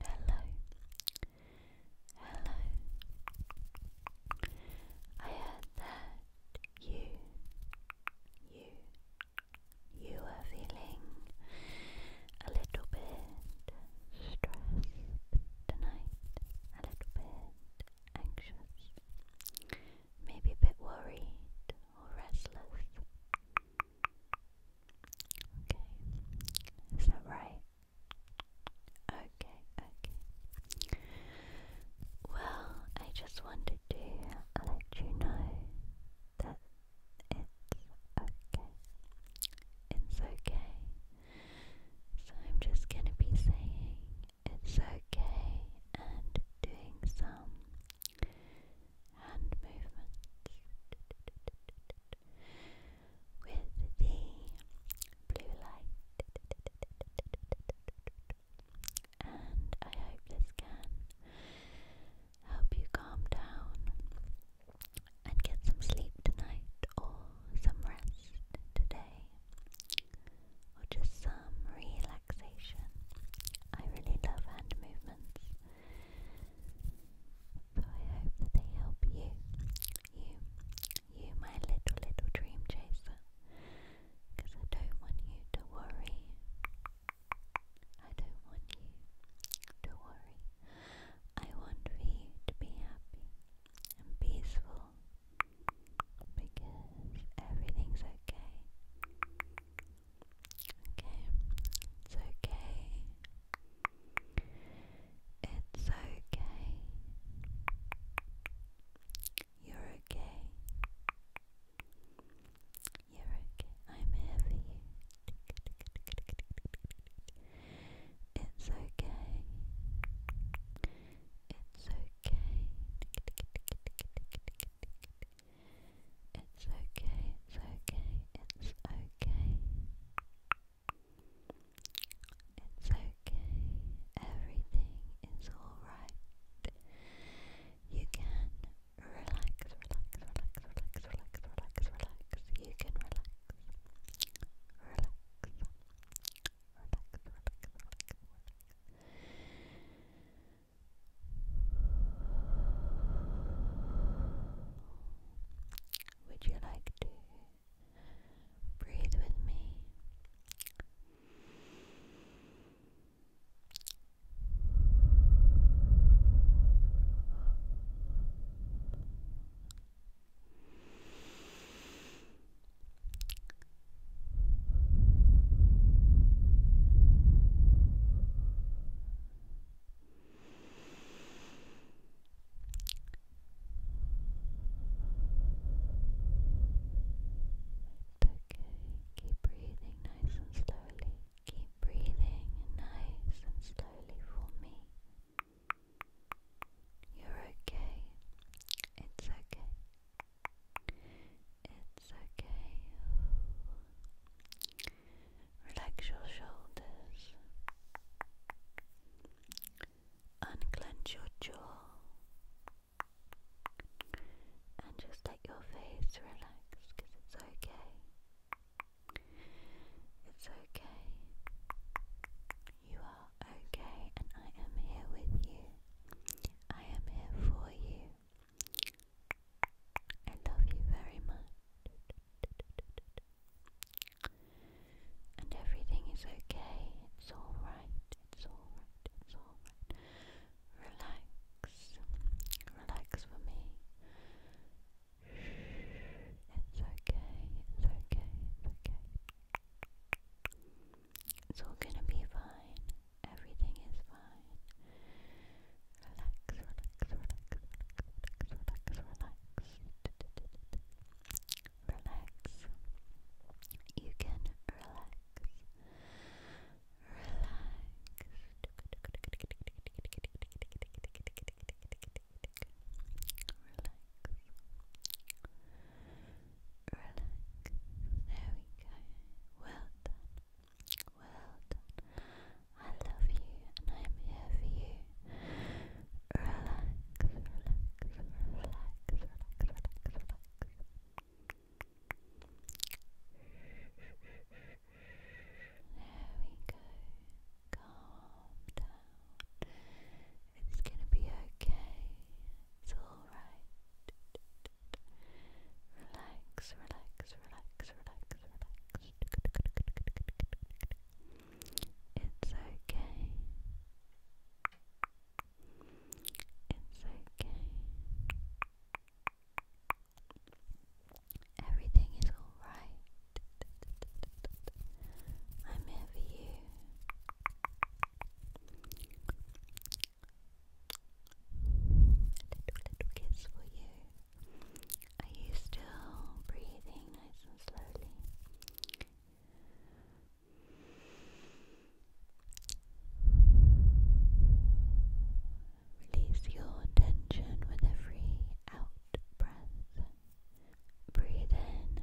Hello. Hello. Hello. I heard that you you you are feeling a little bit stressed tonight, a little bit anxious, maybe a bit worried or restless. Okay, is that right? Okay, okay. Well, I just wanted to let you know that it's okay. It's okay. So I'm just gonna be saying it's okay and doing some hand movements with the blue light. And I hope this can help you calm down and get some sleep tonight or some rest today or just some relaxation. I really love hand movements so I hope that they help you, you, you, my little, little dream chaser. I don't want you to worry. I don't want you to worry. I want for you to be happy and peaceful because everything's okay it's okay. It's okay. You're okay. You're okay. I'm here for you. It's okay. It's okay. It's okay, it's okay, it's okay. It's okay, everything is alright. You can relax, relax, relax, relax, relax, relax, relax. You can relax. Relax. Relax, relax, relax, relax. Would you like to breathe with me? okay. Keep breathing nice and slowly. Keep breathing nice and slowly for me. You're okay. It's okay. It's okay. Relax your shoulders. Unclench your jaw. And just let your face relax it's okay. It's okay. You are okay, and I am here with you. I am here for you. I love you very much. And everything is okay. It's alright. It's alright. It's alright. Relax. Relax for me. It's okay. It's okay. It's okay. It's all gonna be fine. Everything is fine. Relax, relax, relax, relax, relax, relax. Relax. You can relax. Relax. Relax. There we go. Well done. Well I love you and I'm here for you. Relax, relax, relax, relax, relax, relax. There we go. Calm down. It's gonna be okay. It's alright. Relax, relax, relax, relax, relax. It's okay. It's okay. Everything is alright. I'm here for you little, little kiss for you. Are you still breathing nice and slowly? Release your tension with every out breath. Breathe in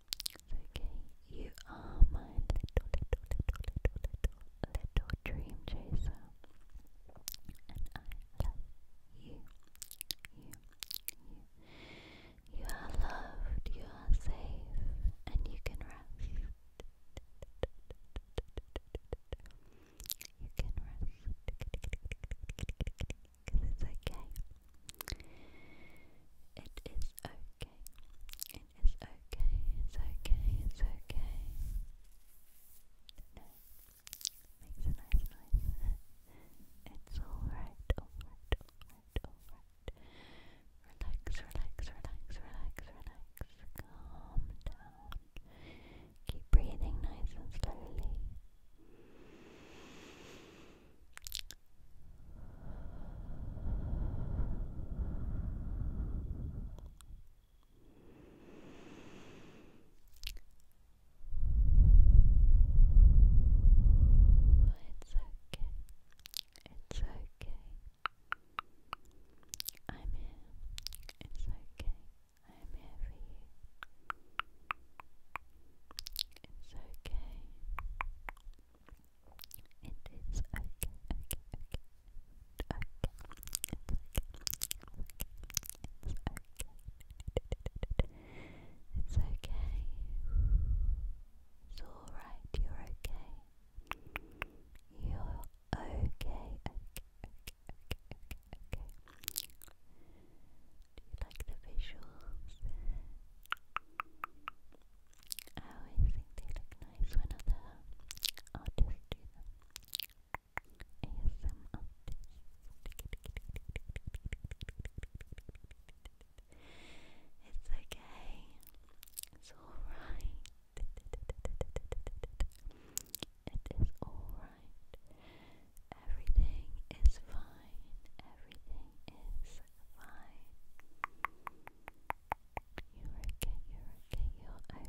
okay. You are my little, little, little, little, little, little dream chaser. And I love you. You, are loved, you are safe, and you can rest. You can rest. it's okay. It is okay. It is okay. It's okay. It's okay. Makes a nice noise. It's alright, alright, alright, alright. Relax, relax, relax, relax, relax. Calm down. Keep breathing nice and slowly. It's okay. It's okay. I'm here. It's okay. I'm here for you. It's okay. It is okay, okay, okay. It's okay. It's okay. It's okay. It's okay. It's okay. It's alright, you're okay. You're okay, okay, okay, okay, okay, okay. Do you like the visuals? Oh, I always think they look nice when other artists do them. ASM artists. It's okay. It's alright. It is alright. Everything is fine. Everything is fine. You're okay, you're okay, you're okay.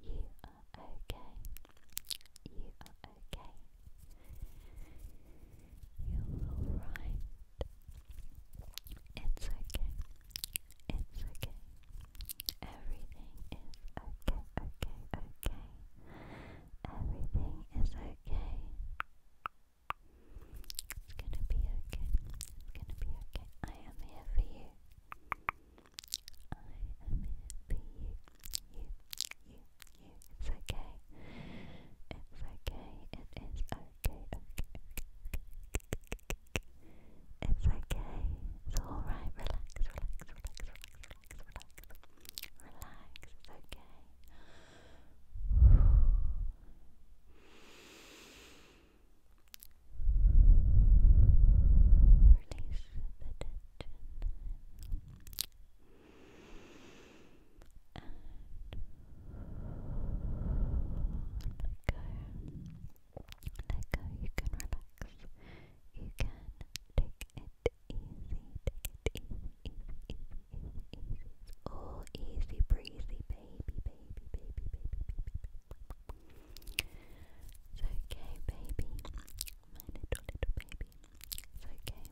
You are okay. You are okay. You're alright. It's okay. It's okay. Everything is okay, okay, okay. Everything is okay. It's gonna be okay. It's gonna be okay. I am here for you. I am here for you. You, you, you. It's okay. It's okay. It is okay. Okay. It's okay. It's alright. relax, relax, relax, relax, relax. Relax. It's okay. Release the tension and Let go, you can relax. You can take it easy, take it easy, easy, easy, easy, easy. It's all easy breezy, baby, baby, baby, baby, baby. It's okay, baby. My little, little baby. It's okay.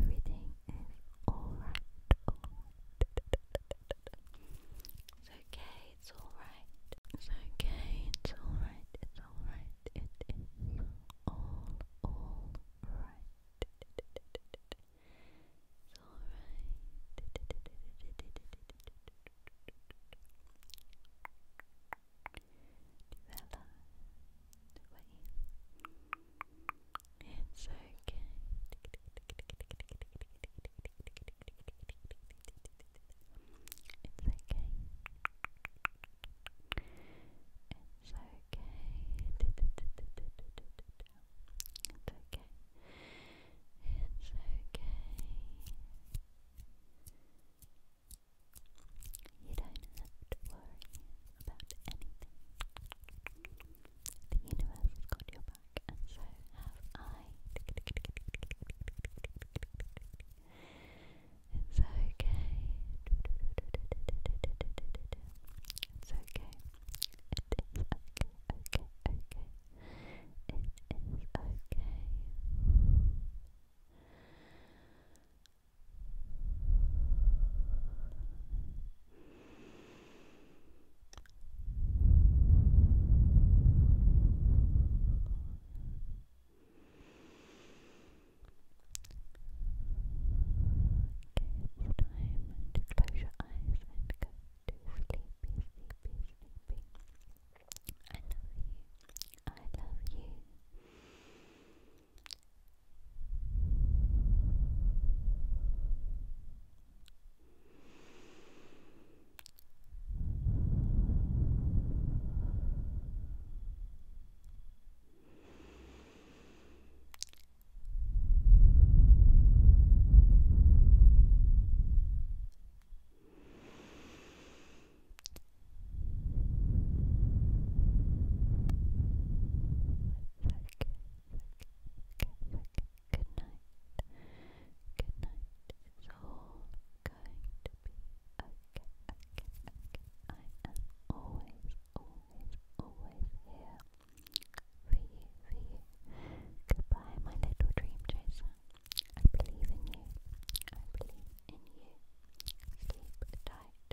Everything is alright. It's okay, it's alright. It's okay, it's alright. It's alright. It is all alright. It's alright. Develop away. It's okay. It's okay. It's okay. It's okay. It's okay. You don't have to worry about anything. The universe has got your back, and so have I. It's okay. It's okay. It is okay, okay, okay. It is okay. It's okay it's time to close your eyes and go to sleep. I love you. I love you. It's okay. It's okay. Good night. It's all good going to be okay, okay, okay. I always, always, always here for you, for you. Goodbye, my little dream chaser. I believe in you. I believe in you. Sleep tight.